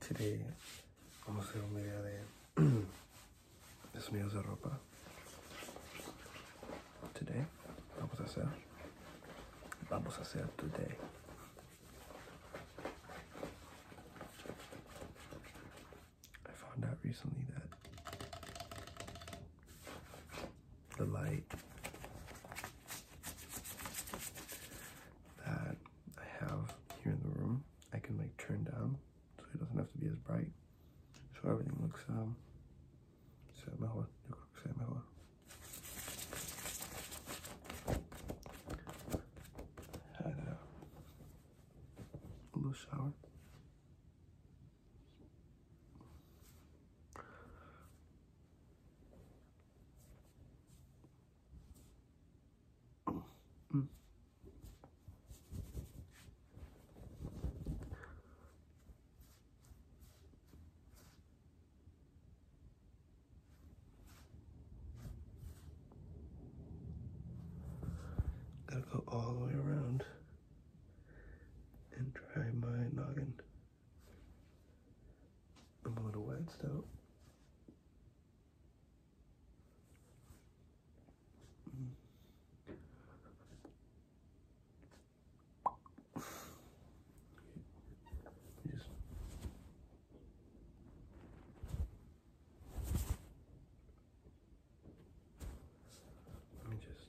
Today, hmm. vamos a hacer un video de, de sonidos de ropa. today. Vamos a hacer. Vamos a hacer today. I found out recently that the light that I have here in the room, I can like turn down so it doesn't have to be as bright. So everything looks um, sea mejor, yo creo que sea mejor. Had a little shower. Mm. Gotta go all the way around and try my noggin. I'm a little waxed out. Just let me just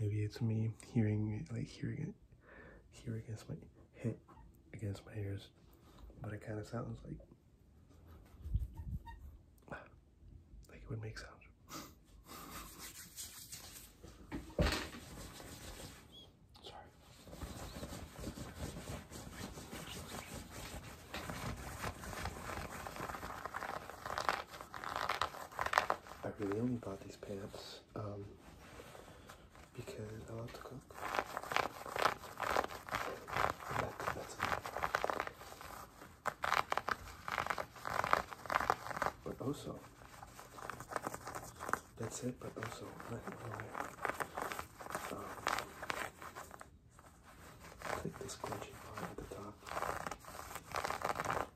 Maybe it's me hearing like hearing it here against my head, against my ears, but it kind of sounds like like it would make sound. Sorry. I really only bought these pants um, because I love to cook. But also, that's it, but also, click um, this crunchy part at the top.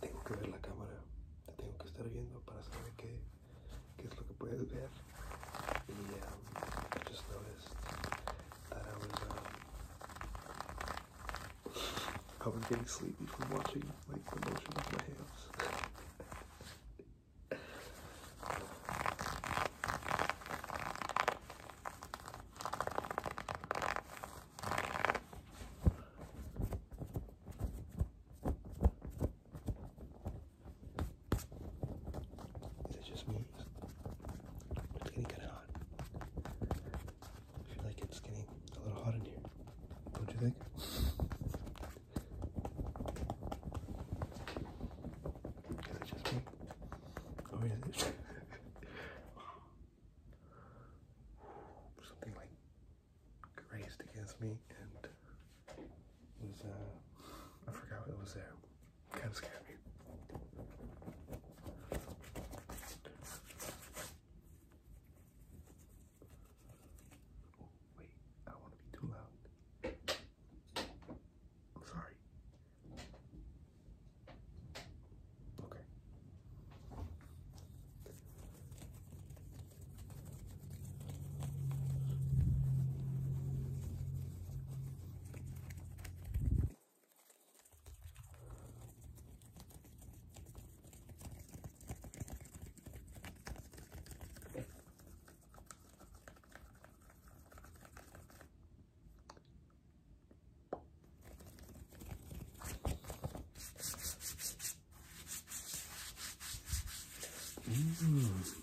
tengo que ver la cámara, tengo que estar viendo para saber qué, es lo que puedes ver. Y um, I just noticed that I was, um, I was getting sleepy from watching like the motion of my hands. Is it just me? It's getting kind of hot. I feel like it's getting a little hot in here. What do you think? Is it just me? Or is it something like grazed against me and was uh I forgot what was there. Kinda of scared me. Oh wait, I wanna be too loud. I'm sorry. Okay. Mmm,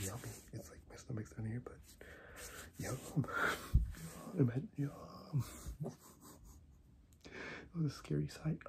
yummy. It's like my stomach's down here, but yum. Imagine, yum. Oh, the scary sight.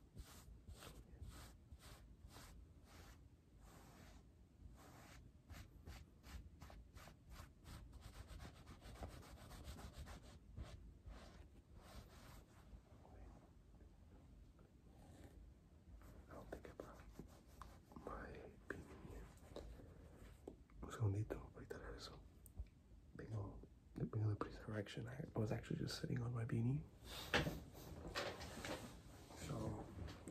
I'll think about my opinion. Un segundito, ahorita regreso. Vengo, vengo de Prisa Correction. I was actually just sitting on my beanie so,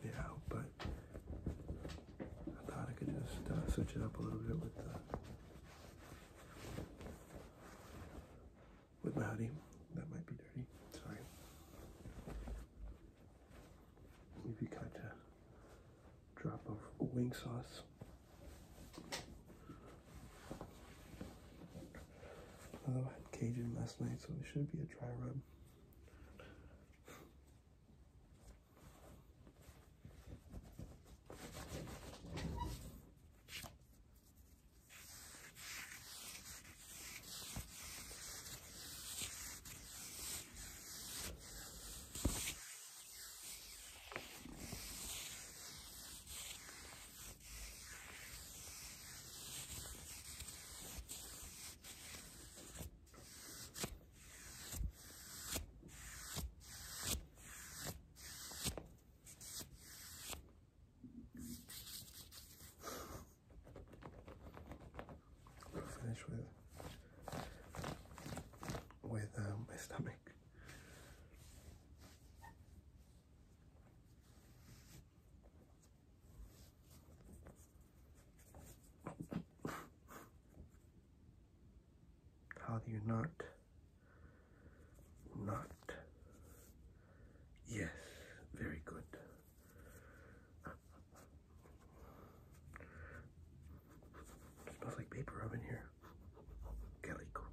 yeah, but I thought I could just uh, switch it up a little bit with the uh, with my hoodie. That might be dirty. Sorry. If you catch a drop of wing sauce Although I had Cajun last night, so it should be a dry rub. I'll finish with with um, my stomach. How do you not? Not. Yes, very good. smells like paper oven here. Calico.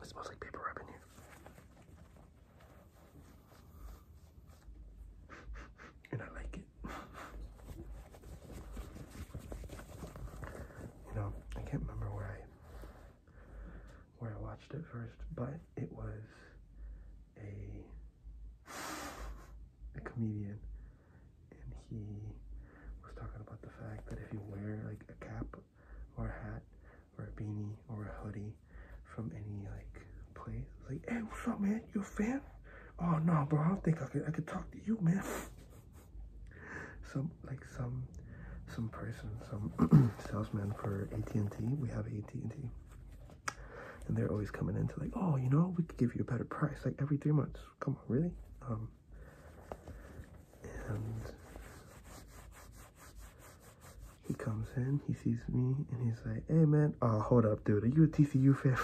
It smells like paper wrap in here. And I like it. You know, I can't remember where I where I watched it first, but it was a comedian, and he was talking about the fact that if you wear like a cap or a hat or a beanie or a hoodie from any like place, like, hey, what's up, man? You a fan? Oh no, bro, I don't think I could I could talk to you, man. some like some um, some person, some salesman for AT&T. We have AT&T. And they're always coming in to like, oh, you know, we could give you a better price, like every three months. Come on, really? Um, and he comes in, he sees me, and he's like, hey, man, oh, hold up, dude. Are you a TCU fan?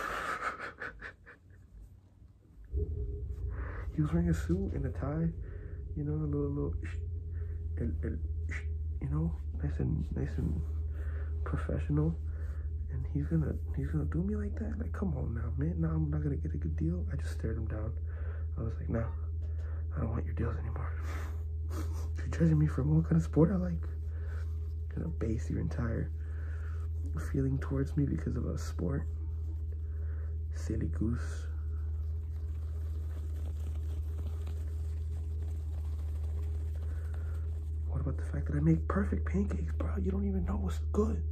he was wearing a suit and a tie. You know, a little, little, and, and, you know, nice and nice and professional. And he's gonna, he's gonna do me like that. Like, come on now, man. Now I'm not gonna get a good deal. I just stared him down. I was like, no, I don't want your deals anymore. You're judging me from what kind of sport I like. You're gonna base your entire feeling towards me because of a sport. Silly goose. What about the fact that I make perfect pancakes, bro? You don't even know what's good.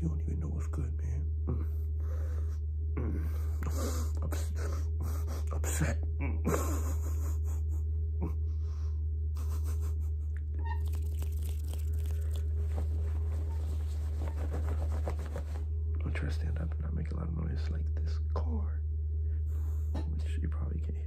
You don't even know what's good, man. Mm. Mm. upset. Mm. I'll try to stand up and not make a lot of noise like this car, which you probably can hear.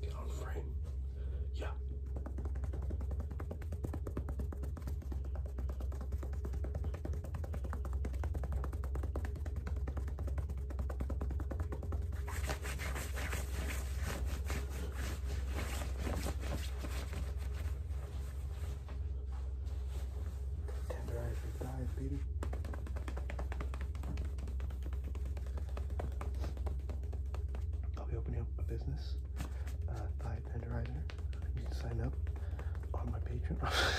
Get on frame. Yeah. Tenderize thighs, baby. I'll be opening up a business, uh, Thigh Tenderizer. You can sign up on my Patreon.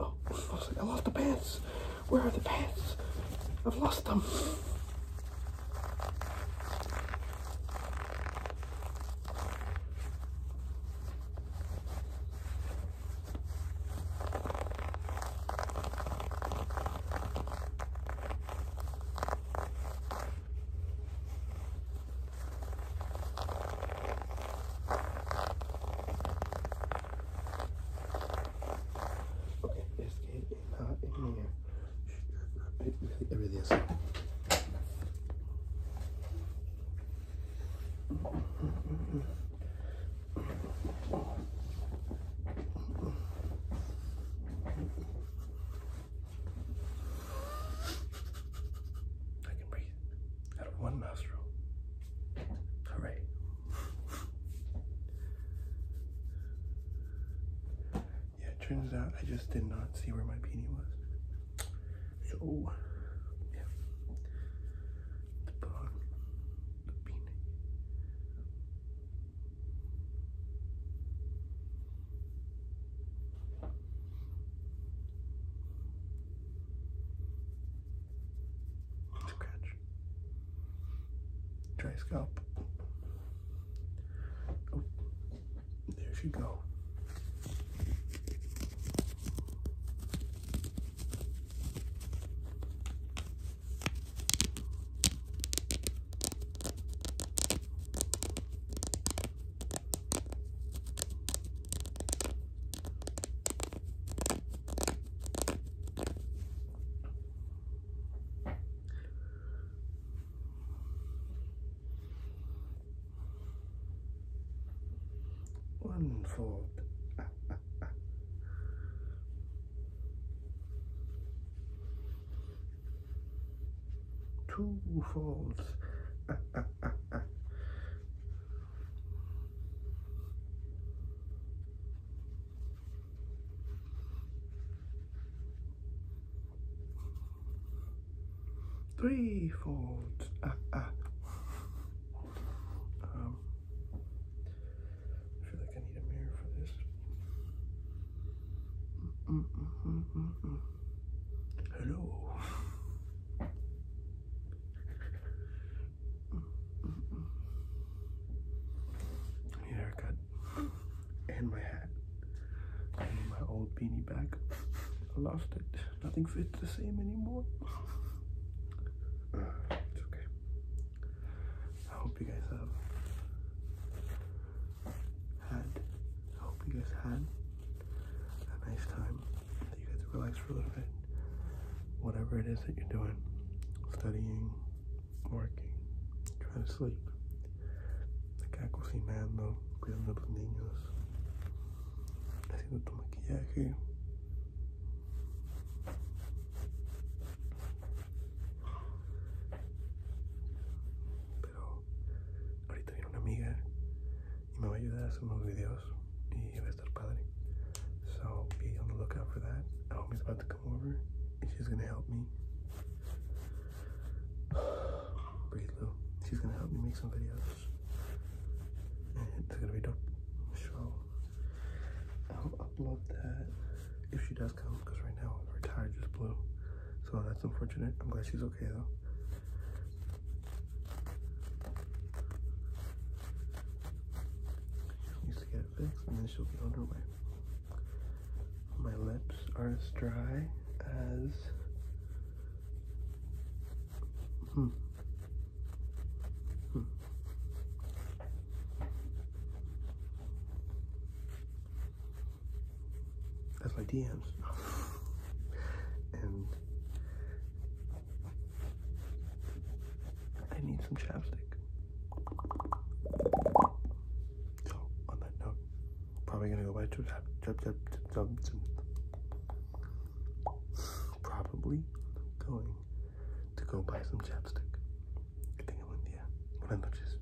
Oh, I lost the pants. Where are the pants? I've lost them. Okay, this kid is not in here. It really, I can breathe out of one nostril. Hooray. yeah, turns out I just did not see where my beanie was. So, yeah. The bun, the beanie. Good catch. scalp. Oh, there she go. One fold. Two folds. Three folds. Ah, ah. Um, I feel like I need a mirror for this. -mm -mm -mm -mm. mm, mm. Hello. I haircut and my hat. my old beanie back. I lost it. Nothing fits the same anymore. Ah, it's okay. I hope you guys have had. I hope you guys had a nice time. That you guys relax for a little bit. Whatever it is that you're doing, studying, working, trying to sleep. Acá cuidando a los niños, haciendo tu maquillaje ahorita viene una amiga So be on the lookout for that. I hope he's about to come over and she's gonna help me. Breathe She's gonna help me make some videos. it's gonna be dope. So I'll upload that if she does come because right now her tire just blew. So that's unfortunate. I'm glad she's okay though. Needs to get it fixed and then she'll be underway. My lips are as dry as hmm. Hmm. That's my DMs. and I need some chapstick. So on that note, probably gonna go buy two chap chap chap chap Probably going to go buy some chapstick. I think I'm in India. Buenas noches.